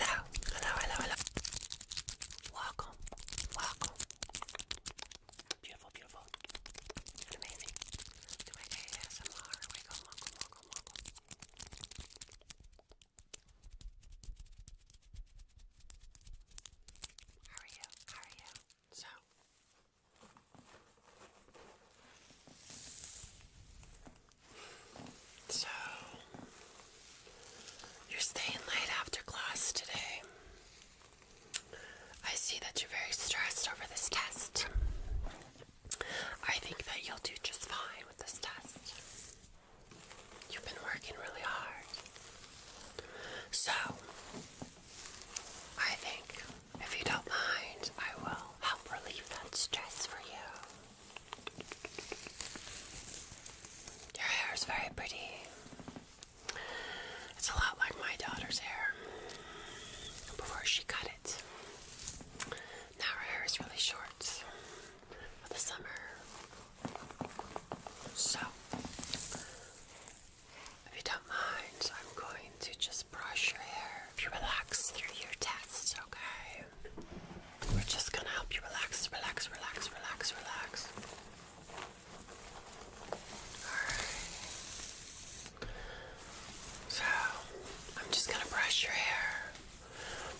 Hello, hello, hello, hello. Welcome, welcome. Beautiful, beautiful. And amazing. To my ASMR. Welcome, welcome, welcome, welcome. How are you? How are you? So. So, you're staying late after class today. I see that you're very stressed over this test. I think that you'll do just fine with this test. You've been working really hard. So, I think if you don't mind, I will help relieve that stress for you. Your hair is very pretty. It's a lot like my daughter's hair before she cut it. Now her hair is really short for the summer. So, if you don't mind, I'm going to just brush your hair. If you relax through your test, okay? We're just gonna help you relax, relax, relax, relax, relax. Alright. So, I'm just gonna brush your hair.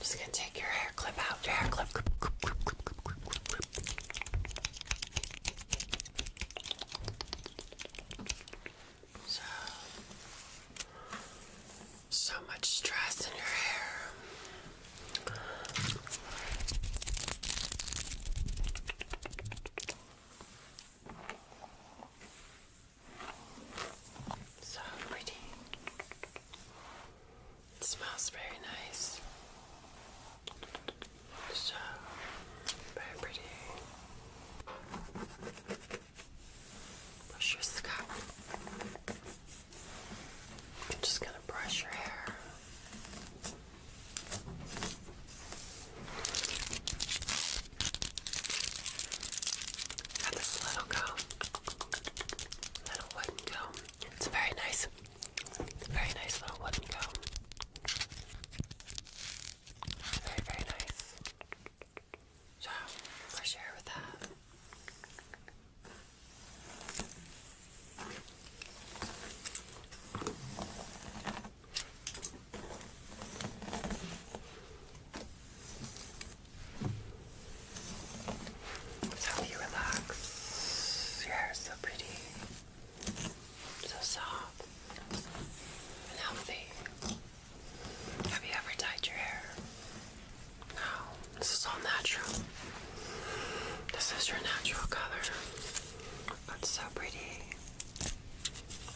just gonna take your hair clip out, your hair clip, clip, clip, clip, clip, clip, clip, clip. So, so much stress in your hair. So pretty. smells very nice. So very pretty. Brush your scalp. I'm just going to brush your hair. Got this little comb, little wooden comb. It's very nice. very nice little wooden comb. Very, very nice. So, brush your hair with that. It's you relax. Your hair is so pretty, so soft, and healthy. Have you ever dyed your hair? Now, this is all natural. This is your natural color. That's so pretty.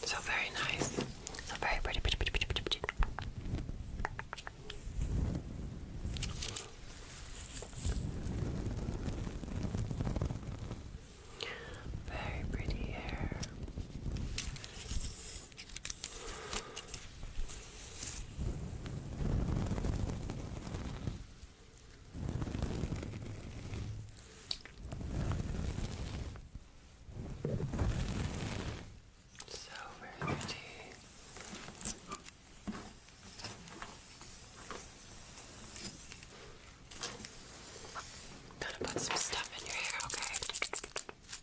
So very nice. So very pretty. Very pretty hair. So where's Gonna put some stuff in your hair, okay?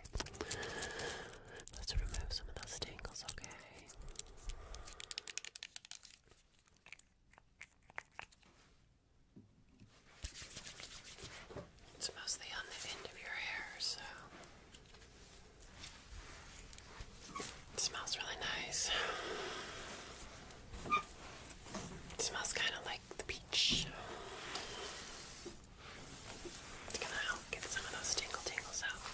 Let's remove some of those tangles, okay? It's mostly on the end of your hair, so it smells really nice. smells kind of like the beach. It's gonna help get some of those tingle tingles out.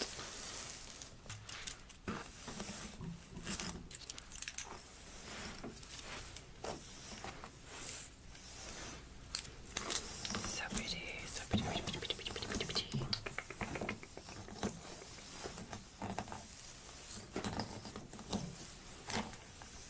So pretty, so pretty, pretty, pretty, pretty, pretty, pretty, pretty.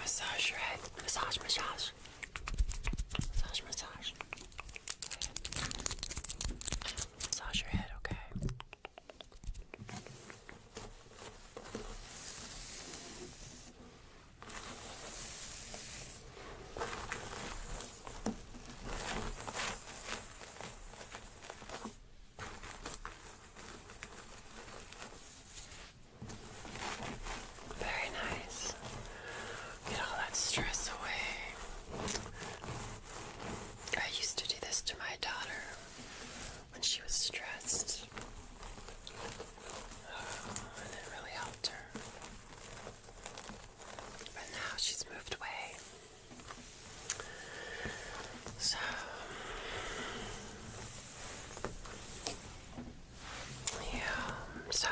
Massage your head. Massage, massage. Massage, massage. Massage your head, okay? Very nice. Get all that stress away. I used to do this to my daughter when she was stressed. and it really helped her. But now she's moved away. So yeah, so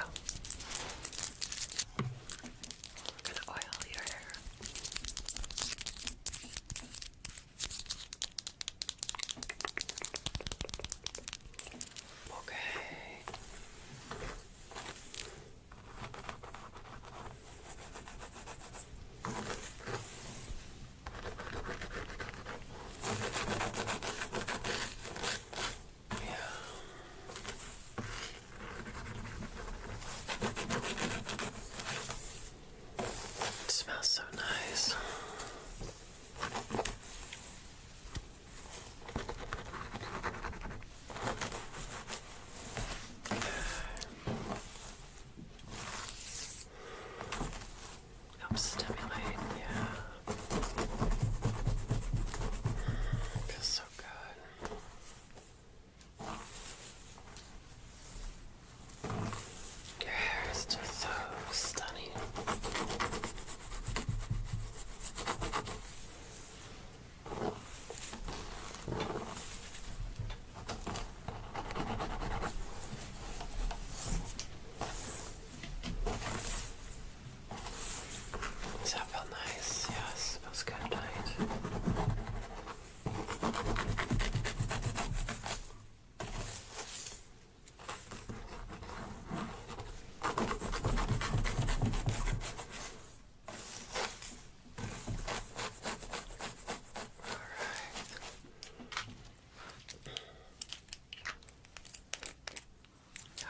I'm gonna oil your hair. Okay. Yeah. smells so nice. Helps stimulate, yeah. Feels so good. Your hair is just so stunning. Does that feel nice? Yes, feels good tonight. All right.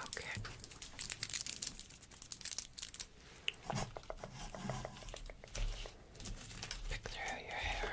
Okay. Pick through your hair.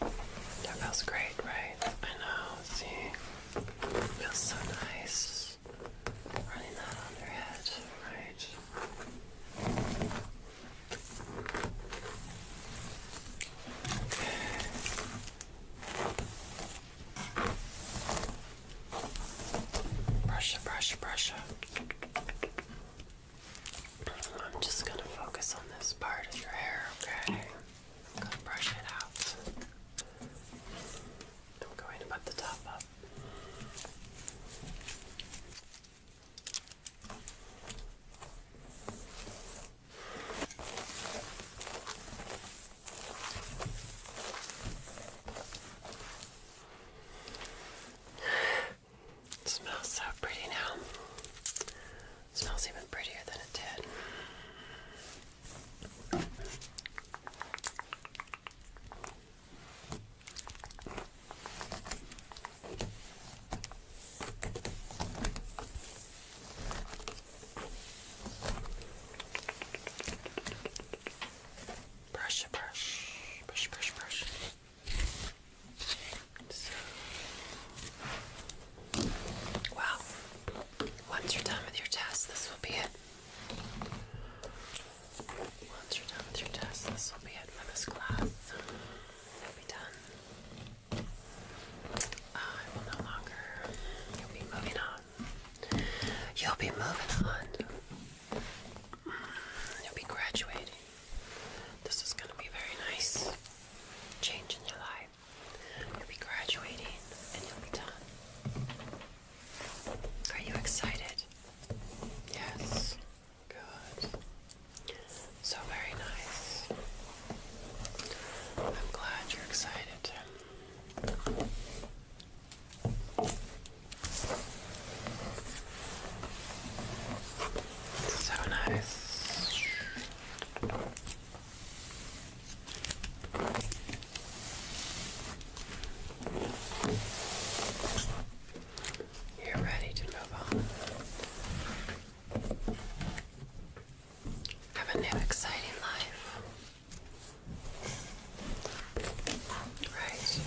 That feels great, right? I know, see? It feels so nice running that on your head, right? Brush, brush, brush. I'm just gonna focus on this part of your hair, okay? I'm gonna brush it out. I'm going to put the top up. smells so pretty now smells even prettier than it did. Brush, brush, brush, brush, brush. Well, once you're done with your test, this will be it. Once you're done with your test, this will be it for this class. You'll be done. Uh, I will no longer. You'll be moving on. You'll be moving on. You'll be graduating. This is going to be very nice. Change in your life. You'll be graduating and you'll be done. Are you excited? Yes. Good. So very nice. I'm glad you're excited. So nice. You're ready to move on. Have a new exciting life. Right.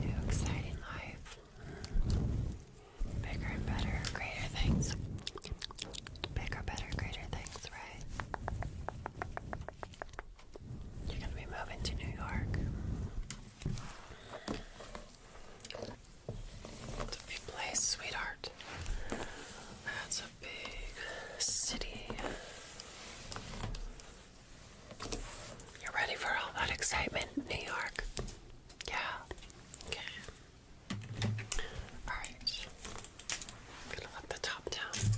New exciting life. Bigger and better, greater things. Bigger, better, greater things, right? You're gonna be moving to New York. It's place, sweetheart big city. You're ready for all that excitement, New York? Yeah. Okay. Alright. gonna let the top down.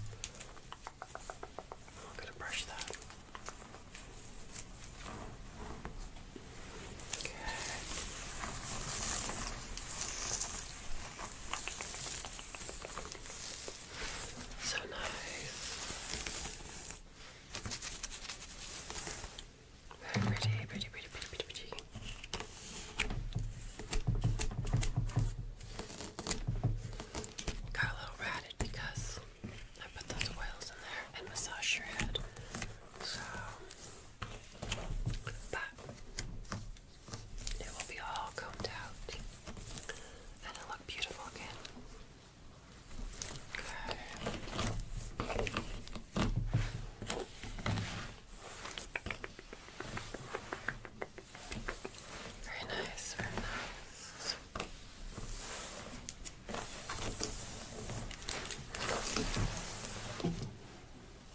i gonna brush that. Okay. So nice. pretty, pretty, pretty, pretty, pretty, pretty. Got a little ratted because I put those oils in there and massage your head. So, but it will be all combed out and it'll look beautiful again. Very nice, very nice.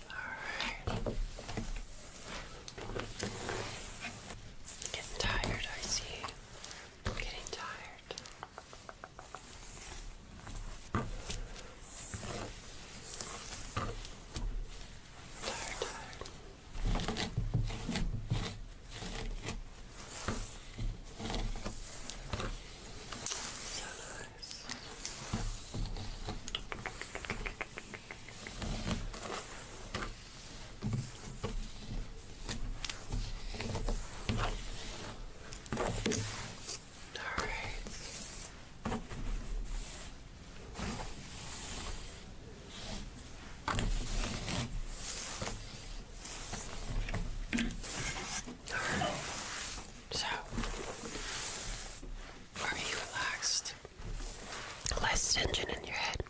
All right. Getting tired, I see. i getting Tired, tired. So nice. All right. So, are you relaxed? Less tension in your head.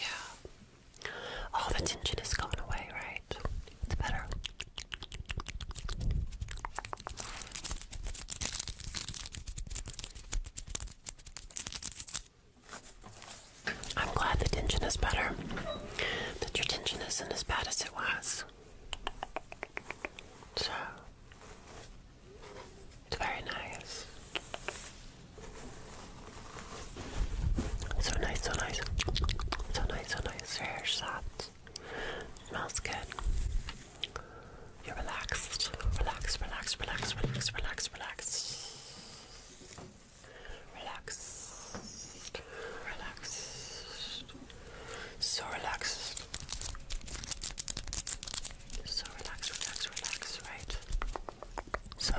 Yeah. All the tension is gone away, right? It's better. I'm glad the tension is better. That your tension isn't as bad as it was. So, it's very nice. So nice, so nice. So nice, so nice. Your hair's soft. Smells good. You're relaxed. Relax, relax, relax, relax, relax, relax. Relax. Relax. So relaxed. So relax, relax, relax, right? So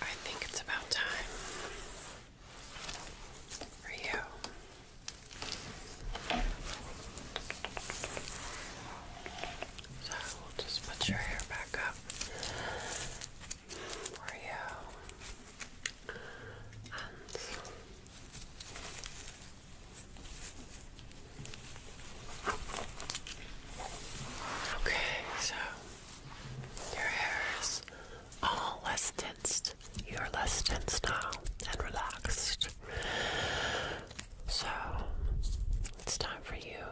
I think it's about time for you so we'll just put your hair back up for you and Okay, so your hair is all less tensed. You're less tensed now and relaxed. So it's time for you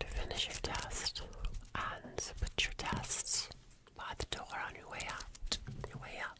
to finish your test and put your tests by the door on your way out. Your way out.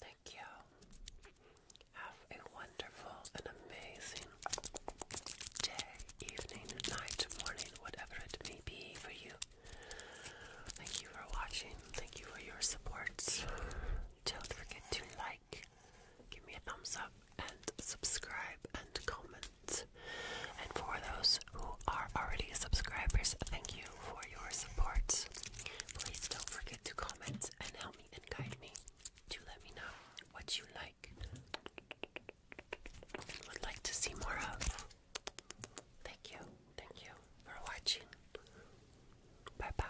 Thank you. Have a wonderful and amazing day, evening, night, morning, whatever it may be for you. Thank you for watching. Thank you for your support. Don't forget to like, give me a thumbs up, and subscribe and comment. And for those who are already subscribers, thank you for your support. Please don't forget to comment and help me and guide me to let me know what you like would like to see more of. Thank you, thank you for watching. Bye bye.